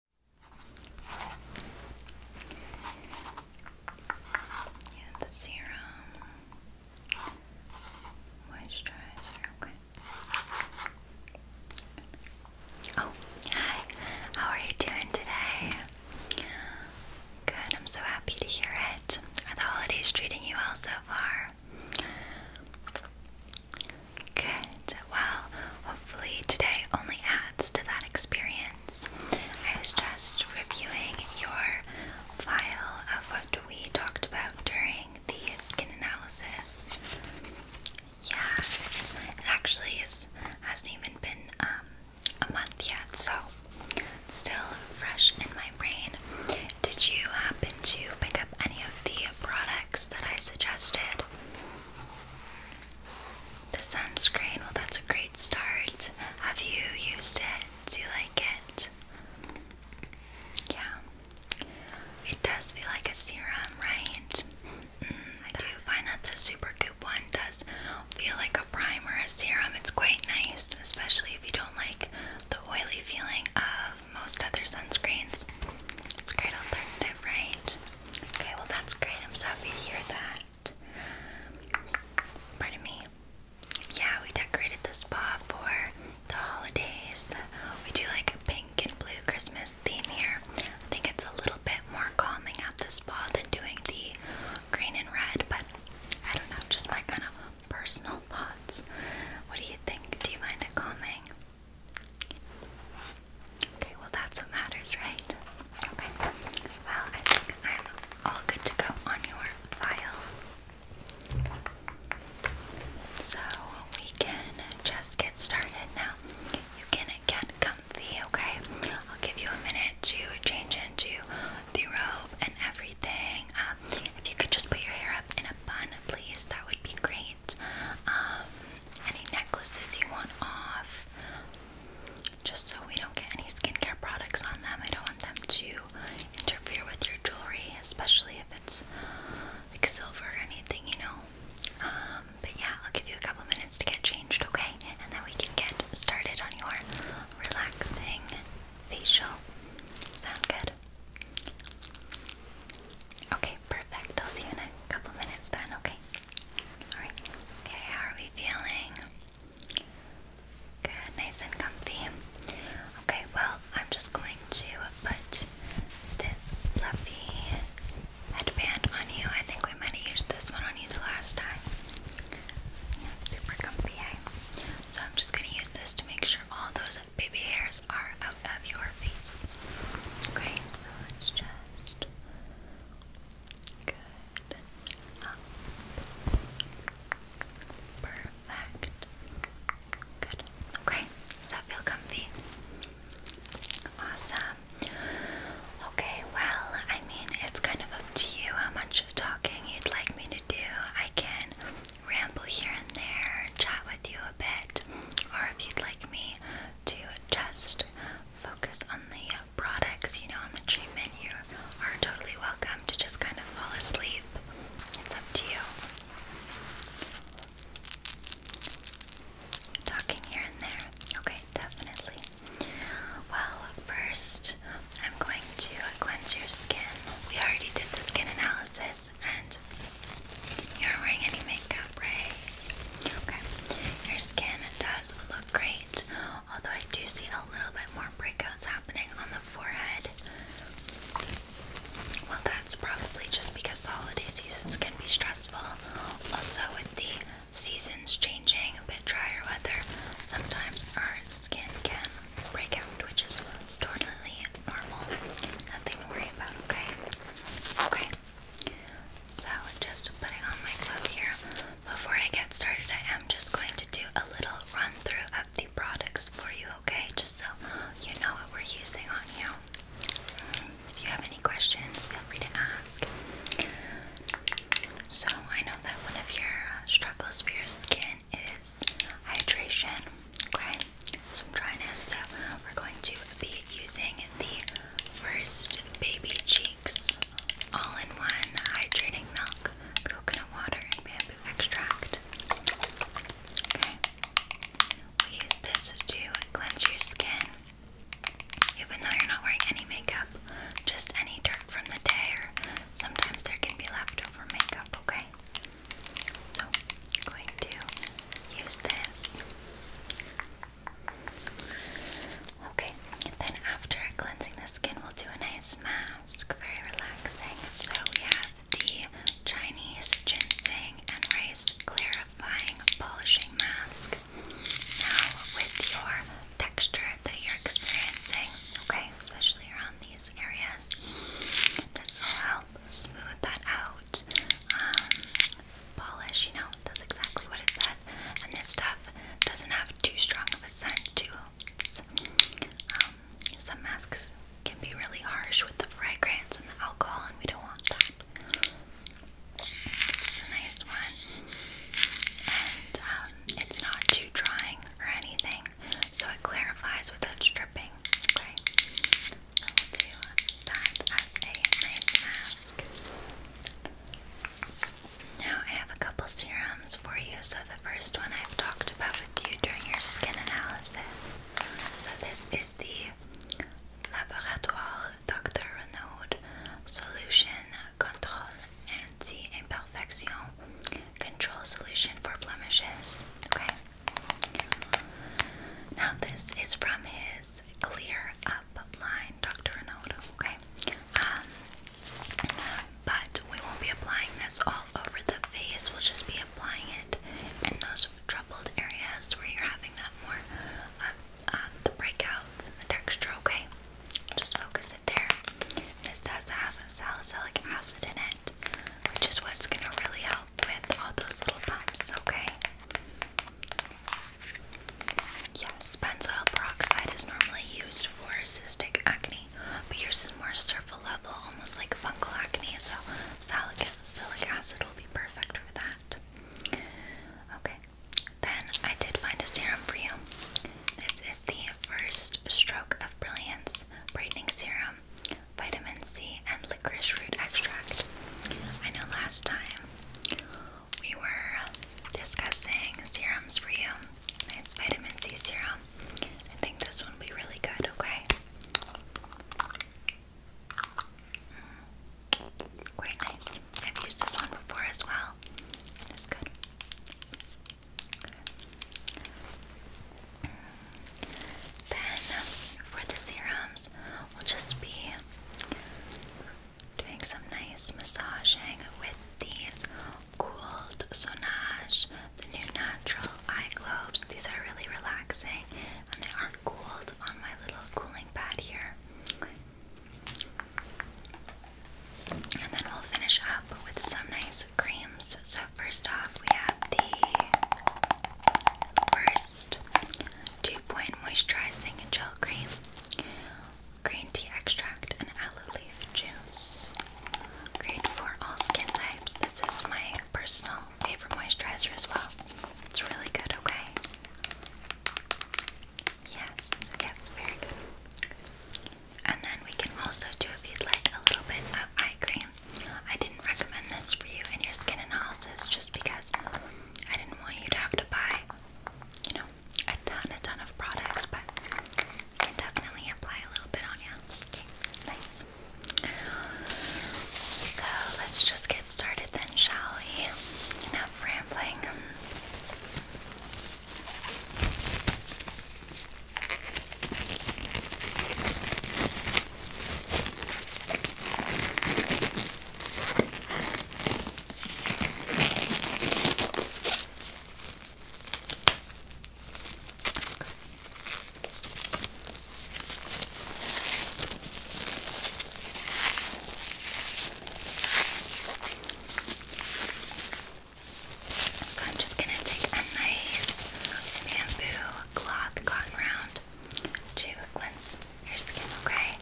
And the serum moisturizer. Oh, hi. How are you doing today? Good. I'm so happy to hear it. Are the holidays treating you well so far? Good. Well, hopefully today only adds to that experience. I was just reviewing your file of what we talked about during the skin analysis. Yes, it actually is, hasn't even been um, a month yet, so still fresh in my brain. Did you happen to pick up any of the products that I suggested? The sunscreen, well, that's a great start. Have you used it? Do you like it? Yeah. It does feel like a serum, right? Mm, I do find that the Super Goop one does feel like a primer, a serum. It's quite nice, especially if you don't like the oily feeling of most other sunscreens. It's a great alternative, right? Okay, well that's great. I'm so happy to hear that. Pardon me. Yeah, we decorated the spa for the holidays. We do like a pink and blue Christmas theme here. I think it's a little bit more calming at the spa than doing the green and red, but I don't know, just my kind of personal thoughts. What do you think? Do you mind it calming? Okay, well, that's what matters, right? Okay. Well, I think I'm all good to go on your file. So we can just get started now. You can get comfy, okay? I'll give you a minute to change into the robe and everything. Um, if you could just put your hair up in a bun, please, that would be great. Um, any necklaces you want off. Just so we don't get any skincare products on them. I don't want them to interfere with your jewelry, especially if it's like silver or anything, you know. Um, but yeah, I'll give you a couple minutes to get changed, okay? And then we can get started on your relaxing facial. Sound good? Okay, perfect. I'll see you in a couple minutes then, okay? All right. Okay, how are we feeling? Good, nice and comfy. Okay, well, I'm just going to put this fluffy headband on you. I think we might have used this one on you the last time. super comfy, eh? So I'm just gonna use this to make sure all those baby hairs are out of your face. Okay, so let just Good. Perfect. Good. Okay. Does that feel comfy? Awesome. Okay, well, I mean, it's kind of up to you how much talking you'd like me to do. I can ramble here and there, chat with you a bit, or if you'd like me to just focus on the uh, products, you know, on the treatment, you are totally welcome to just kind of fall asleep. It's up to you. Talking here and there. Okay, definitely. Well, first, I'm going to cleanse your skin. We already did the skin analysis, and you are wearing any makeup, right? Okay, your skin does look great, although I do see a little bit more breakouts happening on the forehead. Well, that's probably just because the holiday seasons can be stressful. Also, with the seasons changing, a bit drier weather, sometimes our skin can break out, which is totally normal. Nothing to worry about, okay? Okay. So, just putting on my glove here. Before I get started, I am just going to do a little run through of the products for you, okay? Just so you know what we're using on you. If you have any questions, feel free to ask. So, I know that one of your uh, struggles for your skin is hydration, okay? So, so we're going to be using the First, baby cheeks, all in one hydrating milk, coconut water, and bamboo extract. We use this to cleanse your skin, even though you're not wearing any makeup, just any dirt from the day, or sometimes there can be leftover makeup, okay? So, I'm going to use this Okay, then after cleansing the skin, we'll do a nice mask. Very relaxing. So we have the Chinese ginseng and rice clarifying polishing mask. Now, with your texture that you're experiencing, okay, especially around these areas, this will help smooth that out um, polish, you know, does exactly what it says. And this stuff doesn't have too strong of a scent too. Um, some masks can be really harsh with the fragrance and the alcohol, and we don't want that. This a nice one. And um, it's not too drying or anything, so it clarifies without stripping. Okay, so we'll do that as a nice mask. Now, I have a couple serums for you. So, the first one I've talked about with you during your skin analysis. So, this is the Laboratoire Dr. Renaud Solution Control Anti Imperfection Control Solution for Blemishes. Okay. Now, this is from his Clear Up makeup line, Dr. Ronaldo, okay? Um, but we won't be applying this all over the face, we'll just be applying it in those troubled areas where you're having that more, uh, the breakouts and the texture, okay? Just focus it there. This does have salicylic acid in it, which is what's going to really help with all those little bumps, okay? Yes, benzoyl peroxide is normally used for cystic acne, but yours is more surface level, almost like fungal acne, so salicylic acid will be perfect for that. Okay, then I did find a serum for you. This is the First Stroke of Brilliance Brightening Serum, Vitamin C, and Licorice Root Extract. I know last time we were discussing serums for you. Nice vitamin C serum. I think this one will be really good, okay? Mm. quite nice. I've used this one before as well. It's good. Then, for the serums, we'll just be doing some nice massaging with these cooled Sonage, the new natural eye globes. These are really relaxing and they aren't cooled on my little cooling pad here. And then we'll finish up with some nice creams. So, first off, we have the First two Point Moisturizing Gel Cream green tea extract, and aloe leaf juice. Great for all skin types. This is my personal favorite moisturizer as well. It's really good, okay? Yes, yes, very good. And then we can also do, if you'd like, a little bit of eye cream. I didn't recommend this for you in your skin analysis just because I didn't want you to have to buy you know, a ton, a ton of products, but you can definitely apply a little bit on you. it's nice. So let's just get started then, shall we? Enough rambling. So I'm just going to take a nice bamboo cloth cotton round to cleanse your skin, okay?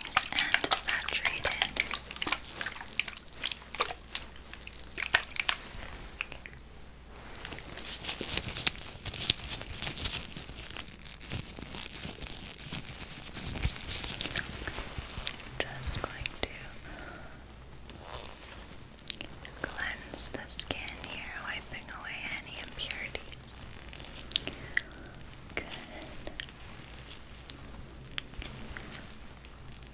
Nice and saturated. Okay. Just going to cleanse the skin here, wiping away any impurities. Good.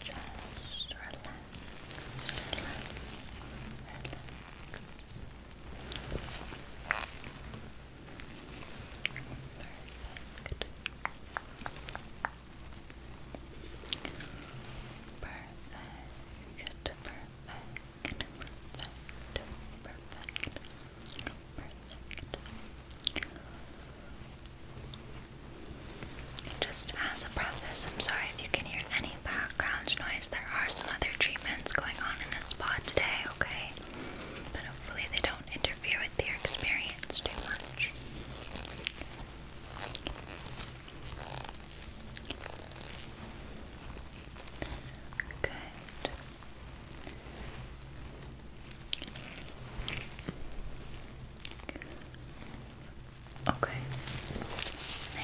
Just relax, relax, relax. Perfect. Perfect. Perfect. Perfect. Perfect. Perfect. Just as a preface, I'm sorry if you can hear any background noise. There are some other treatments going on in the spa today, okay? But hopefully they don't interfere interfere with their experience too much. Good. Okay.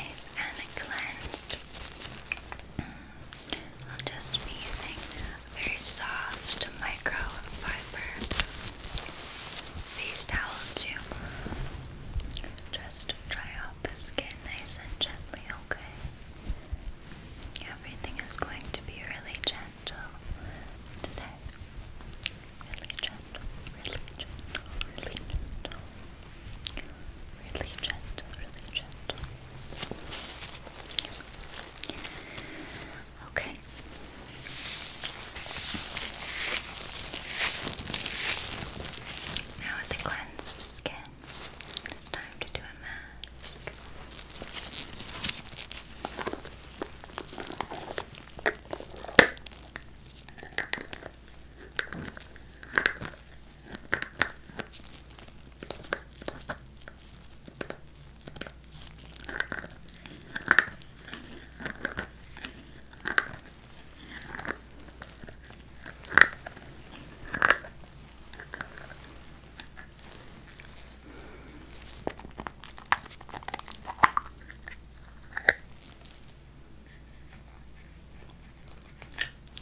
Nice and cleansed. Mm. I'll just be using very soft microfiber face towel to just dry out the skin nice and gently, okay? Everything is going to be really gentle today. Really gentle, really gentle, really gentle. Really gentle, really gentle. Okay. Now with the cleansed skin, it's time to do a mask.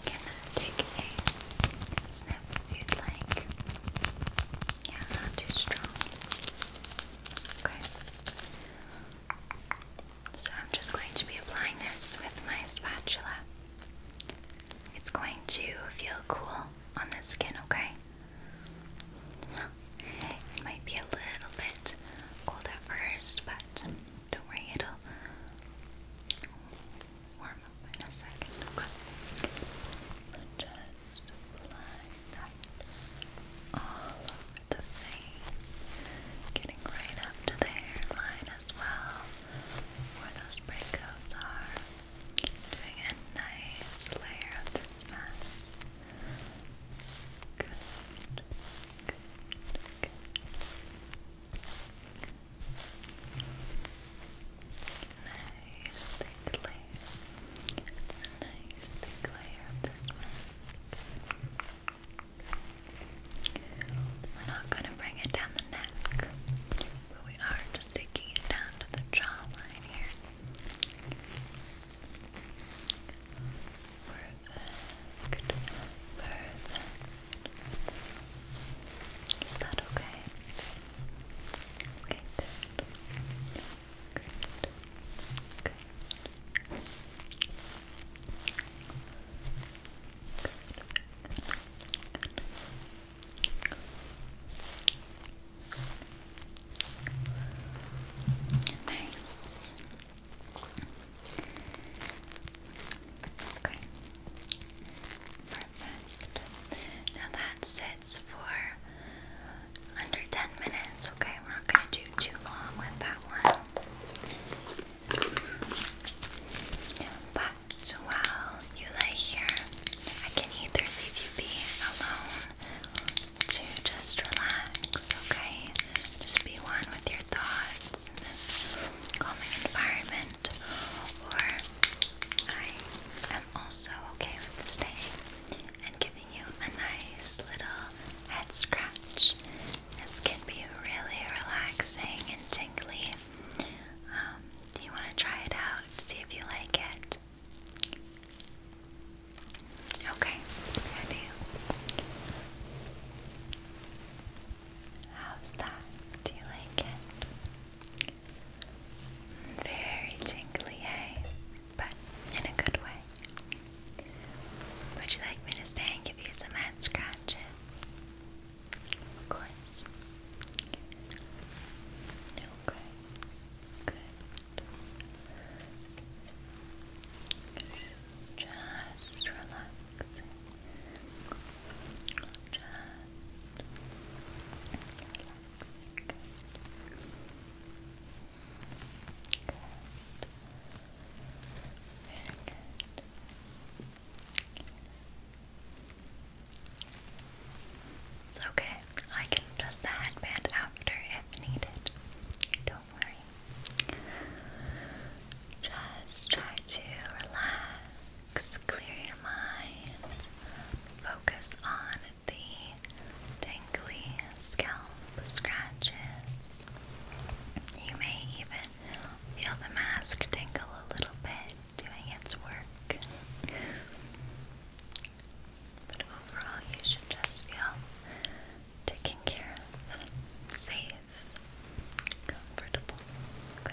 Can I take a snap? you'd like. Yeah, not too strong. Okay. So I'm just going to be applying this with my spatula. It's going to feel cool on the skin, okay? So it might be a little bit cold at first, but don't worry, it'll warm up in a second, okay? just apply that all over the face, getting right up to the hairline as well, where those breakouts are. Doing a nice layer of this mask. Good, good, good. Nice thick layer. Nice thick layer of this one. We're not going to bring it down the neck, but we are just taking it down to the jawline here. Perfect. Perfect. Is that okay? Okay, good. Nice. Okay. Now that sits for under 10 minutes, okay? We're not going to do too long with that one. But while you lay here, I can either leave you be alone to just relax, okay? Just be one with your thoughts in this calming environment or I am also okay with staying and giving you a nice little head scratch. This can be really relaxing and tingly. Um, do you want to try it out? See if you like it. Okay, How's that? Do you like it? Very tingly, eh? But in a good way. Would you like me to stay and give you some head scratches? Of course. Okay. Good. Just relax. Just relax. It's okay. I can adjust the headband after if needed. Don't worry. Just try to relax clear your mind, focus on the tingly scalp scratches. You may even feel the mask tingle a little bit doing its work. But overall, you should just feel taken care of, safe, comfortable. Okay.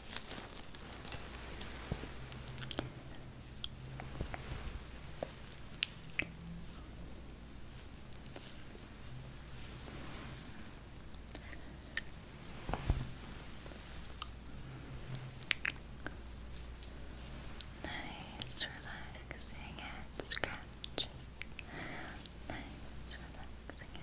Nice, relaxing and scratching. Nice, relaxing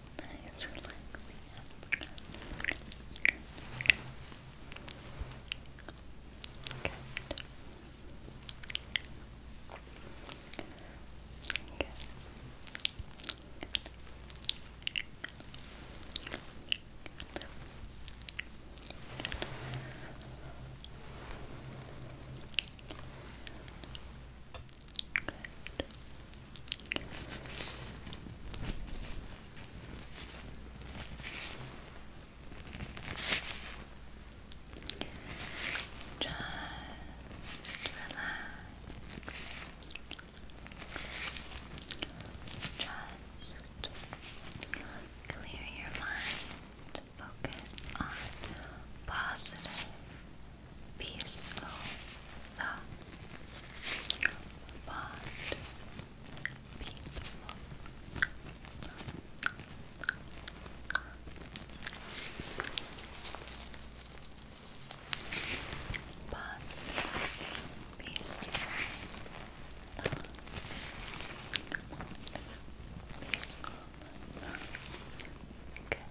nice, relaxing. Good. Just relax. Just clear your mind. Focus on positive peaceful thoughts, but peaceful Positive, peaceful, peaceful, good,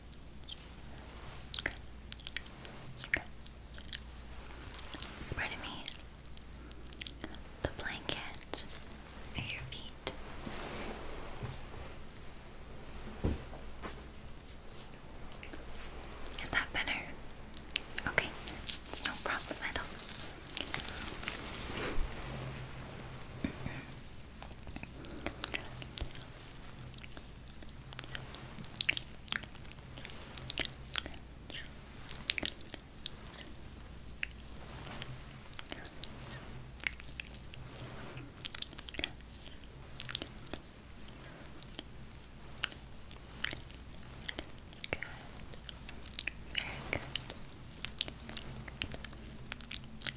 Pardon me. The blanket at your feet. Is that better? Okay, no problem at all. Good. Very Very good.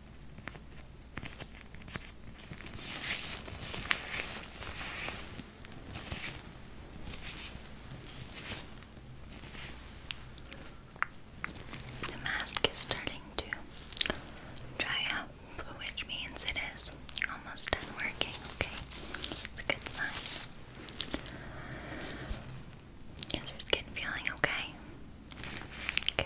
The mask is starting to dry up, which means it is almost done working, okay? It's a good sign. your skin feeling okay? Good.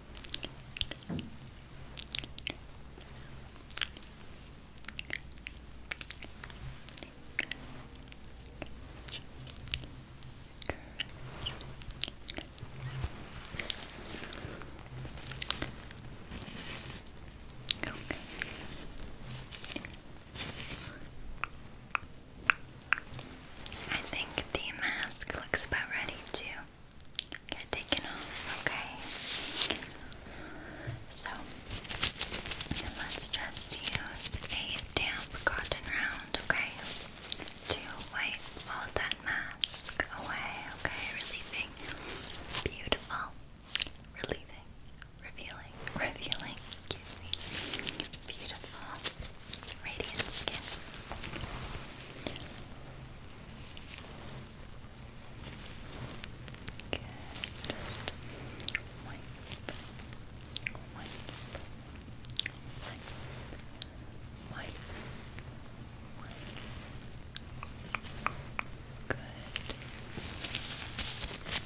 I think the mask looks about ready too get taken off, okay? So, let's just use a damp cotton round, okay? To wipe all that mask away, okay? Relieving, beautiful, relieving, revealing, revealing, excuse me, beautiful, radiant skin. Good. Just wipe, wipe, wipe, wipe, Good. Wipe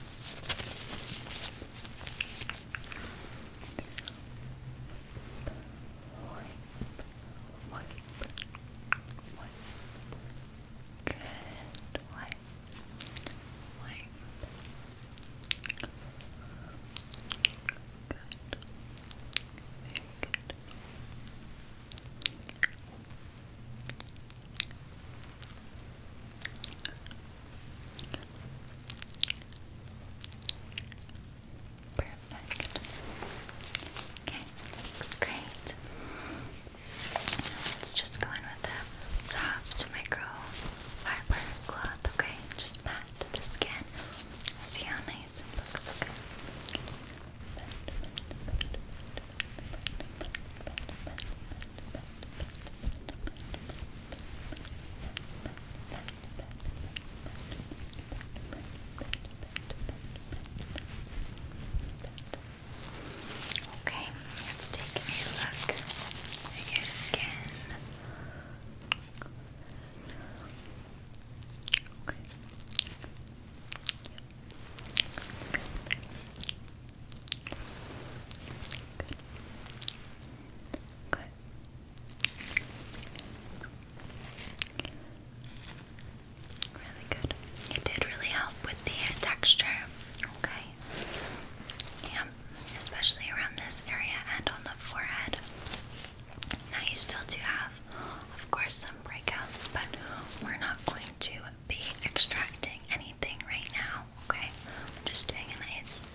wipe, wipe. Good, wipe, wipe. Good. Very good. That's Okay, looks great. Let's just go in with a soft micro fiber cloth, okay? Just pat the skin. See how nice it looks, Okay, Okay, let's take a look at your skin. Good. Good. Really good. It did really help with the texture. Okay. Yeah, especially around this area and on the forehead. Now you still do have, of course, some breakouts, but we're not going to be extracting anything right now. Okay, we're just doing a nice,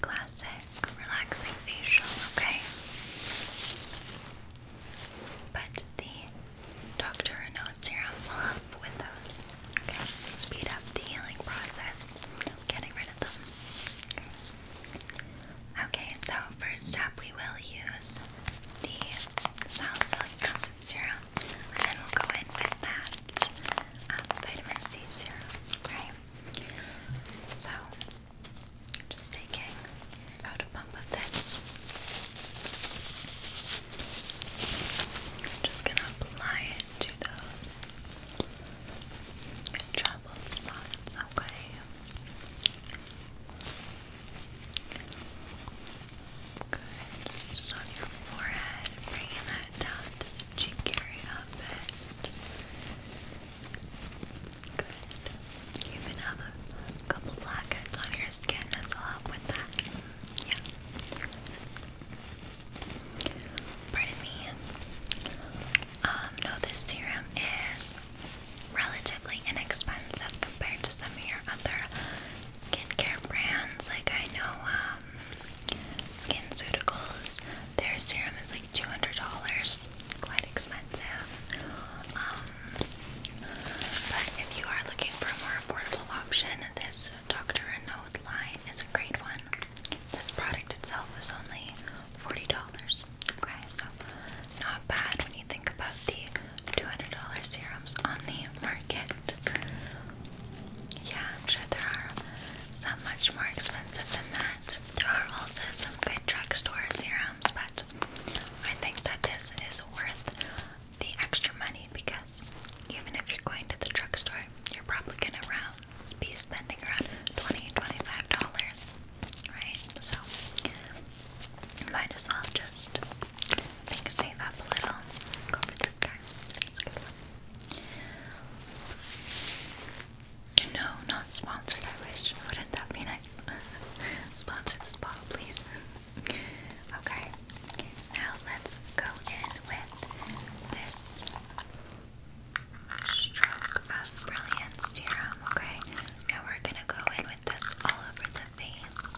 classic, relaxing facial. Okay. But the doctor or serum will help with those. Okay, speed up the healing process getting rid of them. Okay, so first up, we will use the salicylic acid serum, and then we'll go in with that um, vitamin C serum. Okay, so just taking out a pump of this. just gonna apply it to those trouble spots, okay? Good. Just on your forehead, bringing that down to cheek area you even have a couple blackheads on your skin as well with that. Yeah. Pardon me. Um, no, this serum is relatively inexpensive compared to some of your other skincare brands. Like I know, um, SkinCeuticals, their serum is like $200, quite expensive. Um, but if you are looking for a more affordable option, this Dr. Renaud line is a great one. This product itself is only $40. Okay, so not bad when you think about the $200 serums on the market. Yeah, I'm sure there are some much more expensive than that. There are also some good drugstore serums, but I think that this is worth the extra money because even if you're going to the drugstore, you're probably gonna round be spending around 20 25 dollars, right? So you might as well just think save up a little. Go for this guy. No, not sponsored, I wish. Wouldn't that be nice? Sponsor the bottle, please. okay, now let's go in with this stroke of brilliance serum. Okay, now we're gonna go in with this all over the face,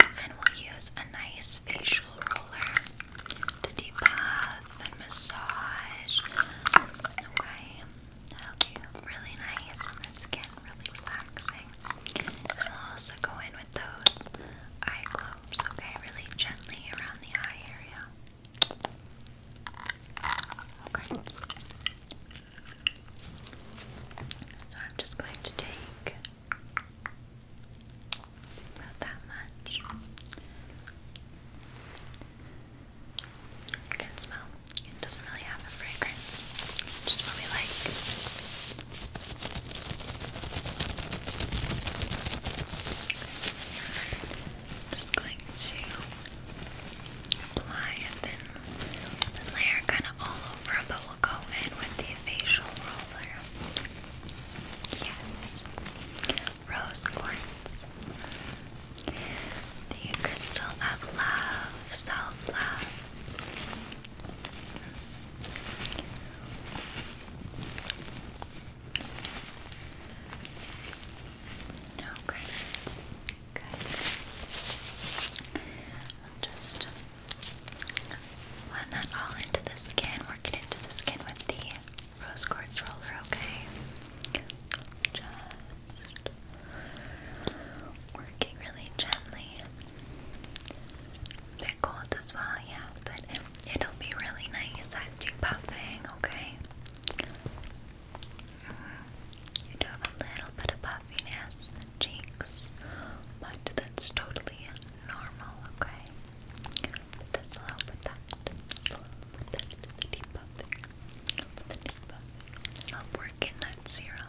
and we'll use a nice facial roller to debuff and massage. Okay really nice and the skin really relaxing. And I'll also go in with those eye globes, okay? Really gently around the eye area. Okay. So I'm just going to take about that much. You can smell. It doesn't really have a fragrance. Just what we like. Just going to apply a thin layer kind of all over, but we'll go in with the facial roller. Yes. Rose quartz. The crystal of love, self love. No, Good. just blend that all into the skin, work into the skin with the rose quartz roller, okay? Just Working really gently. bit cold as well, yeah, but it'll be really nice as you puffing, okay? Mm-hmm. You do have a little bit of puffiness in the cheeks, but that's totally normal, okay? this will help with that. This deep puffing. I'll work that serum.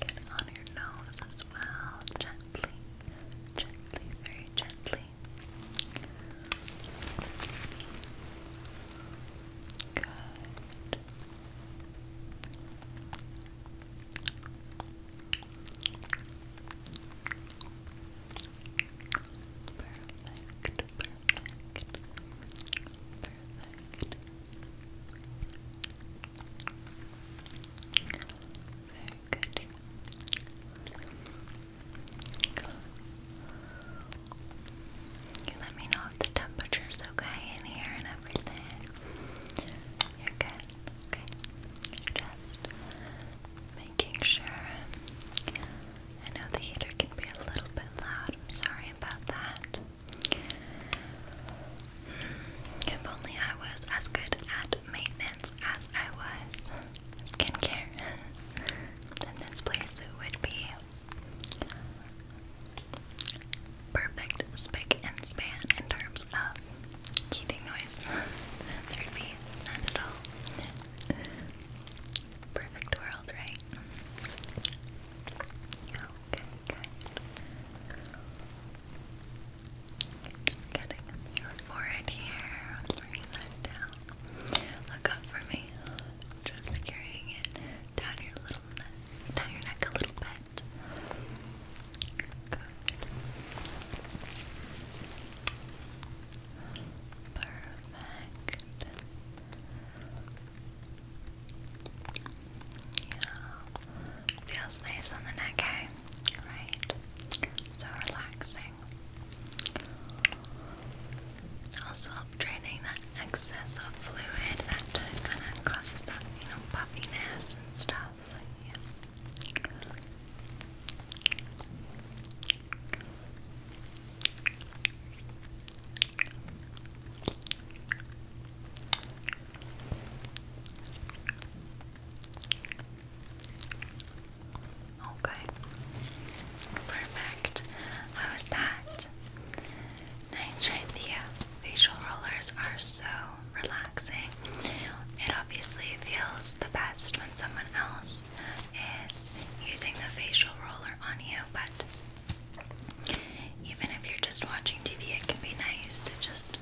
Get on your nose as well, gently, gently, very gently. Good. Perfect, perfect, perfect. Very good. You let me know if the temperature's okay in here and everything. You're good. Okay. Just making sure. I know the heater can be a little bit loud. I'm sorry about that. If only I was as good at maintenance as I was skincare, then this place would be perfect spick and span in terms of heating noise. There'd be none at all. Perfect world, right? Okay, good. just getting your forehead here. Bring that down. Look up for me. Just carrying it down your little neck, down your neck a little bit. Perfect. Yeah. Feels nice on the neck, eh? Right. So relaxing. Also help draining that excess of fluid that kinda causes that, you know, puffiness and stuff. Okay. Perfect. How was that? Nice, right? The facial rollers are so relaxing. It obviously feels the best when someone else is using the facial roller on you, but even if you're just watching TV, it can be nice to just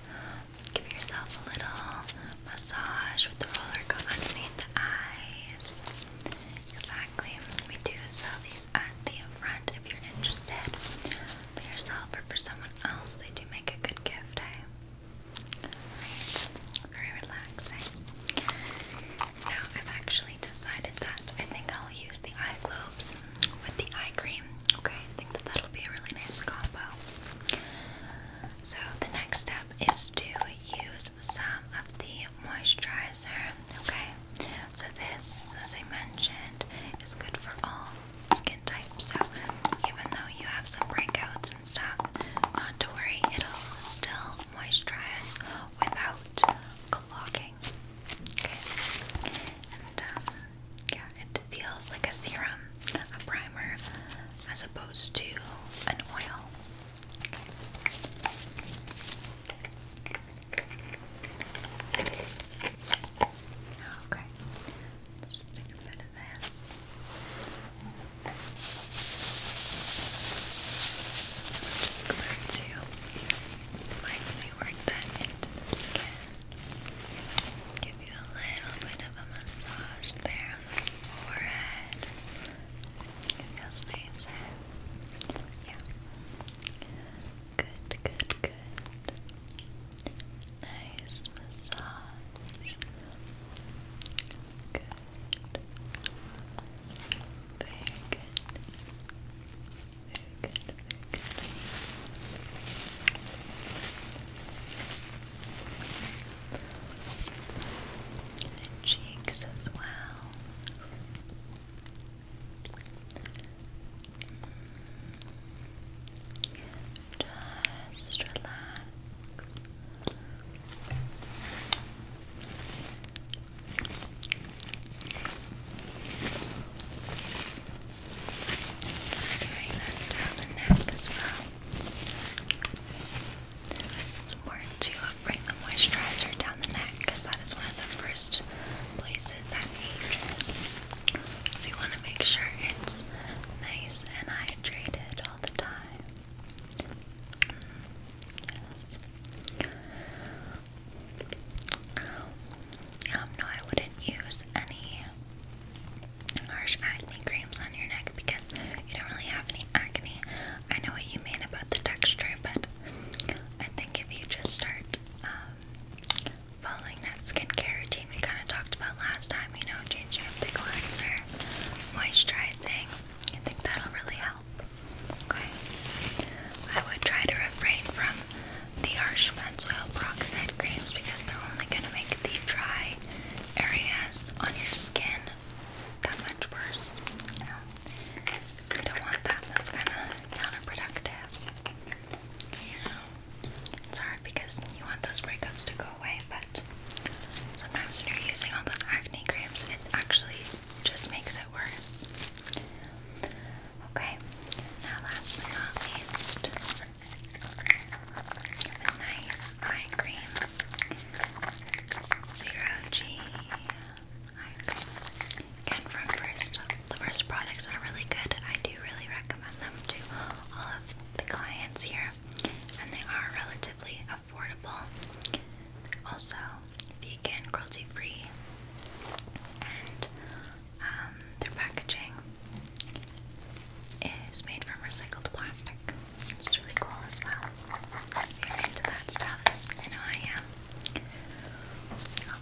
give yourself a little massage with the roller go underneath the eyes. Exactly. We do sell at the front if you're interested. For yourself or for someone else, they do make a good gift, Right. Very relaxing. Now I've actually decided that I think I'll use the eye globes with the eye cream. Okay, I think that that'll be a really nice combo. So, the next step is to use some of the moisturizer. Okay, so this, as I mentioned, is good for all skin types. So, even though you have some breakouts and stuff, not to worry, it'll still moisturize without clogging. Okay, um, yeah, it feels like a serum, a primer, as opposed to an oil. Okay, just take a bit of this. just going to lightly work that into the skin. Give you a little bit of a massage there on the forehead. It feels eh? Yeah. Good, good, good. Nice massage. Good. Very good good, good. cheeks as well. Just relax. Carrying that down It's important to bring the moisturizer down the neck because that is one of the first places that ages. So you want to make sure it's nice and hydrated all the time. Yes. Um, no, I wouldn't use any harsh acne creams on your neck because you don't really have any acne. I know what you mean about the texture, but I think if you just start um, following that skincare routine we kind of talked about last time, you know, changing up the cleanser, moisturizing, I think that'll really help. Okay. I would try to refrain from the harsh benzoyl peroxide creams because they're only going to make the dry areas on your skin that much worse. You I don't want that. That's kind of counterproductive. it's hard because you want those breakouts to go away, but sometimes when you're using all those acne creams, it actually just makes it worse. Okay, now last but not least, with nice eye cream. Zero G eye cream. Again, from first, the first products are really good. I do really recommend them to all of the clients here, and they are relatively affordable. Also, vegan, cruelty free, and um, their packaging is made from recycled plastic, which is really cool as well. If you're into that stuff, I know I am.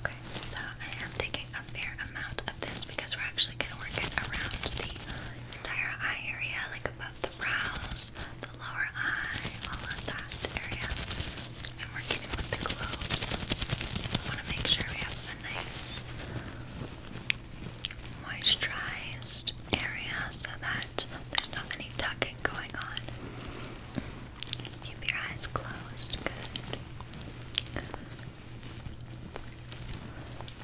Okay, so I am taking a fair amount of this because we're actually going to work it around the entire eye area, like above the brows, the lower eye, all of that area. And we with the globes. I want to make sure we have a nice moisturized area so that there's not any tugging going on. Keep your eyes closed. Good.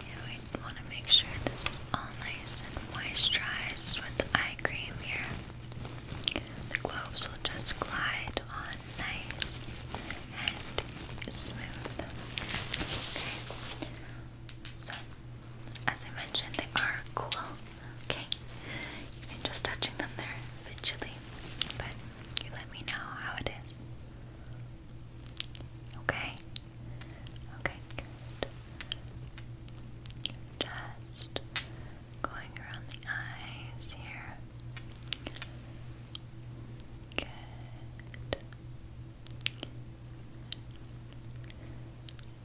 Yeah, we want to make sure this is all nice and moisturized with eye cream here. The globes will just glide on nice and smooth. Okay. So, as I mentioned, they are cool. Okay. Even just touching them there, a bit chilly. But you let me know how it is. Okay. Okay, Just going around the eyes here.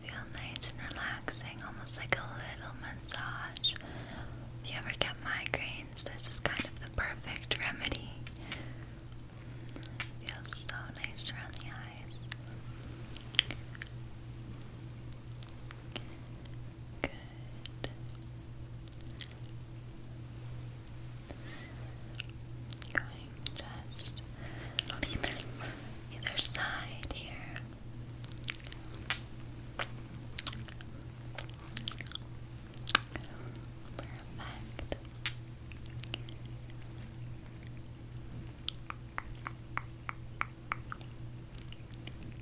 Feel nice and relaxing, almost like a little massage. If you ever get migraines, this is kind of the perfect remedy. feels so nice around the eyes. Good. Going just on either, either side here. Perfect.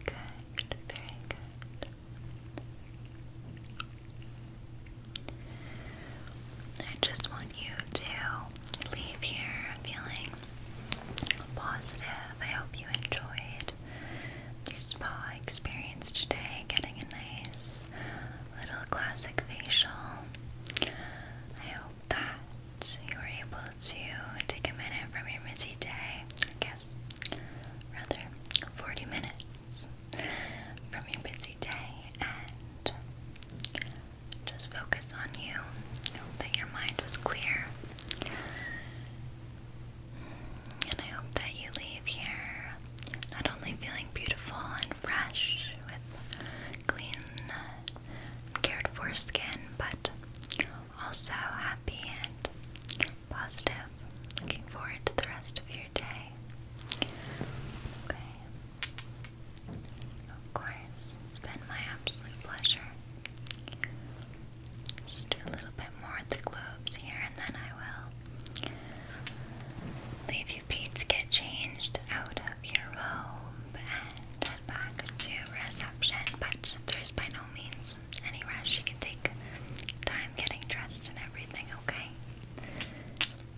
Good, very good. I just want you to leave here feeling positive. I hope you enjoyed the spa experience today, getting a nice little classic facial. I hope that you were able to take a minute from your busy day. I guess rather 40 minutes from your busy day and just focus on you. Hope that your mind was clear. And I hope that you leave here not only feeling beautiful and fresh with clean, cared for skin, but also happy and positive. Looking forward to the rest of your day. Okay. Of course, it's been my absolute pleasure. Just do a little bit more at the globes here and then I will leave you be get changed out of your robe and back to reception. But there's by no means any rush. You can take time getting dressed and everything, okay?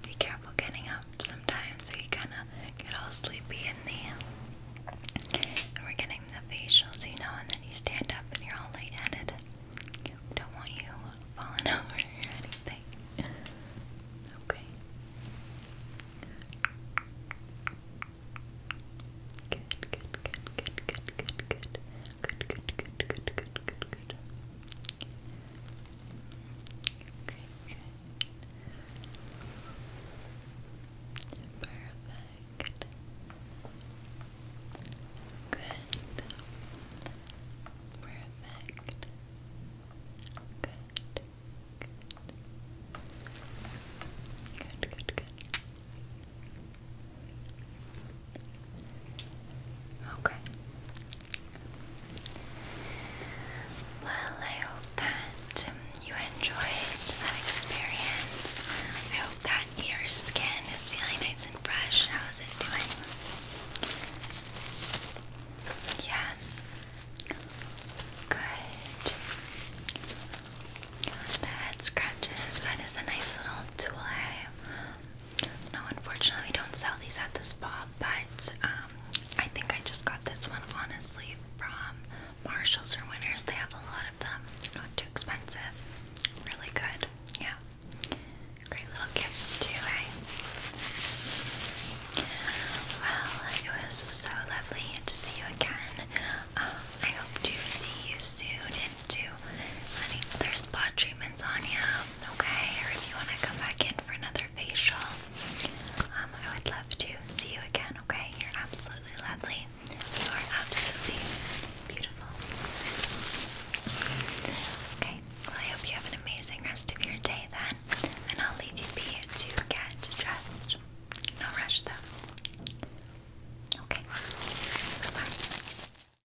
Be careful getting up sometimes. We kind of get all sleepy in the. And we're getting the facials, you know, and then you stand up and you're all lightheaded. We don't want you falling over or anything. Okay. Good, good, good, good, good, good, good. Good, good, good, good, good, good, good. good. Okay, good. Perfect. Good. Good. Good, good, good. Okay. Well, I hope that um, you enjoyed that experience. I hope that your skin is feeling nice and fresh. How's it doing? Yes. Good. The head scratches, that is a nice little tool no, unfortunately, we don't sell these at the spa, but um, I think I just got this one honestly from Marshalls or Winners. They have a lot of them, not too expensive, really good. Yeah, great little gifts, too. Eh? Well, it was so lovely to see you again. Um, I hope to see you soon do any other spot treatments on you, okay? Or if you want to come back in for another facial, um, I would love to see you again, okay? You're absolutely lovely. You are absolutely beautiful. Okay, well, I hope you have an amazing rest of your day then, and I'll leave you be to get dressed. No rush though. Okay, bye